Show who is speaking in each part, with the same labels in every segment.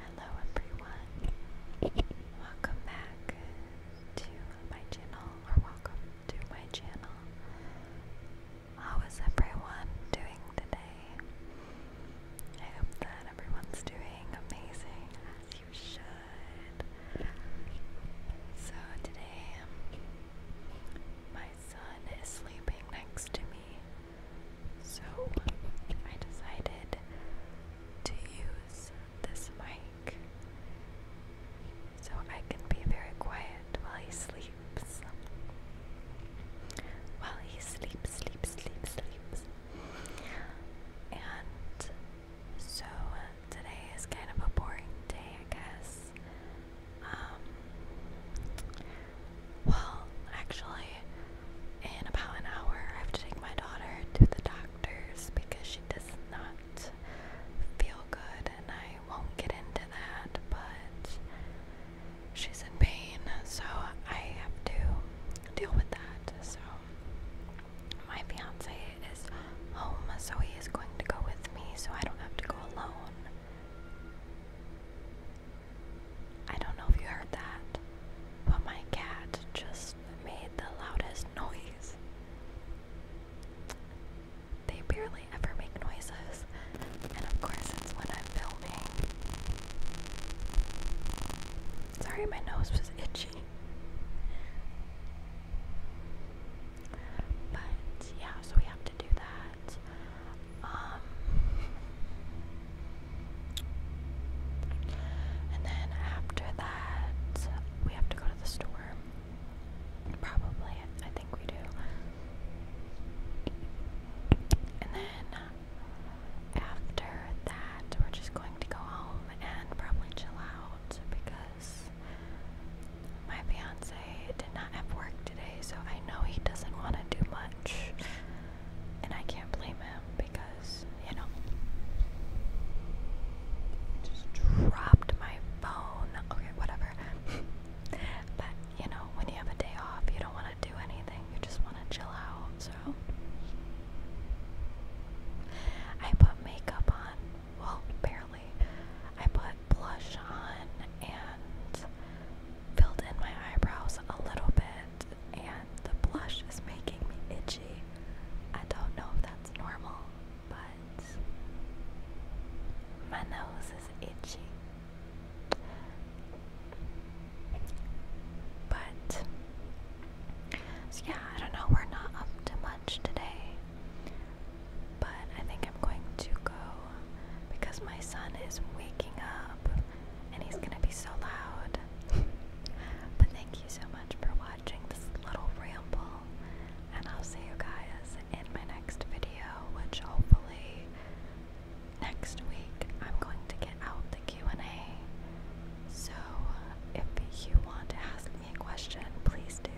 Speaker 1: Hello everyone. Welcome back to my channel or welcome to my channel. How is everyone doing today? I hope that everyone's doing amazing as you should. So today my son is sleeping next to me so I decided to use this mic so I can be very quiet while he sleeps. While he sleeps, sleeps, sleeps, sleeps. And so today is kind of a boring day, I guess. Um, well, actually, in about an hour, I have to take my daughter to the doctor's because she does not feel good, and I won't get into that, but she's in pain, so I have to deal with that. So, my fiance is home, so he is going to go with me, so I don't have to go alone. I don't know if you heard that, but my cat just made the loudest noise. They barely ever make noises, and of course, it's when I'm filming. Sorry, my nose was itchy. But yeah, so we have do that. Um, and then after that, we have to go to the store. Probably, I think we do. And then after that, we're just going to go home and probably chill out because my fiance did not have work today, so I know he doesn't want to do much. And I can't blame him because, you know. just dropped my phone. Okay, whatever. but, you know, when you have a day off, you don't want to do anything. You just want to chill out, so. I put makeup on well, barely. I put blush on and filled in my eyebrows a little bit, and the blush is making me itchy. I don't know if that's normal, but my nose is itchy. But, yeah, I don't know, we're not up to much today. But I think I'm going to go because my son is waking up and he's gonna be so loud. but thank you so much for watching this little ramble, and I'll see you guys in my next video, which hopefully next week I'm going to get out the Q&A. So if you want to ask a question, please do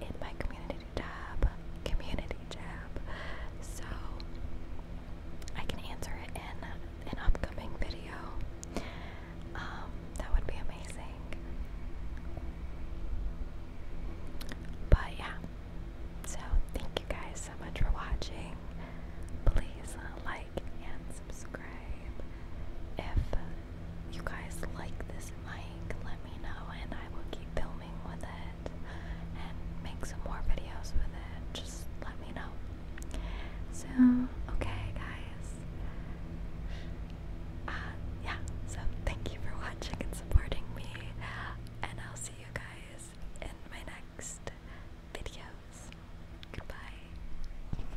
Speaker 1: in my community tab, community tab, so I can answer it in an upcoming video. Um, that would be amazing. But yeah, so thank you guys so much for watching. Please like and subscribe if you guys like this mic, let me know and I will keep filming with it and make some more videos with it. Just let me know. So, okay, guys. Uh, yeah, so thank you for watching and supporting me, and I'll see you guys in my next videos. Goodbye.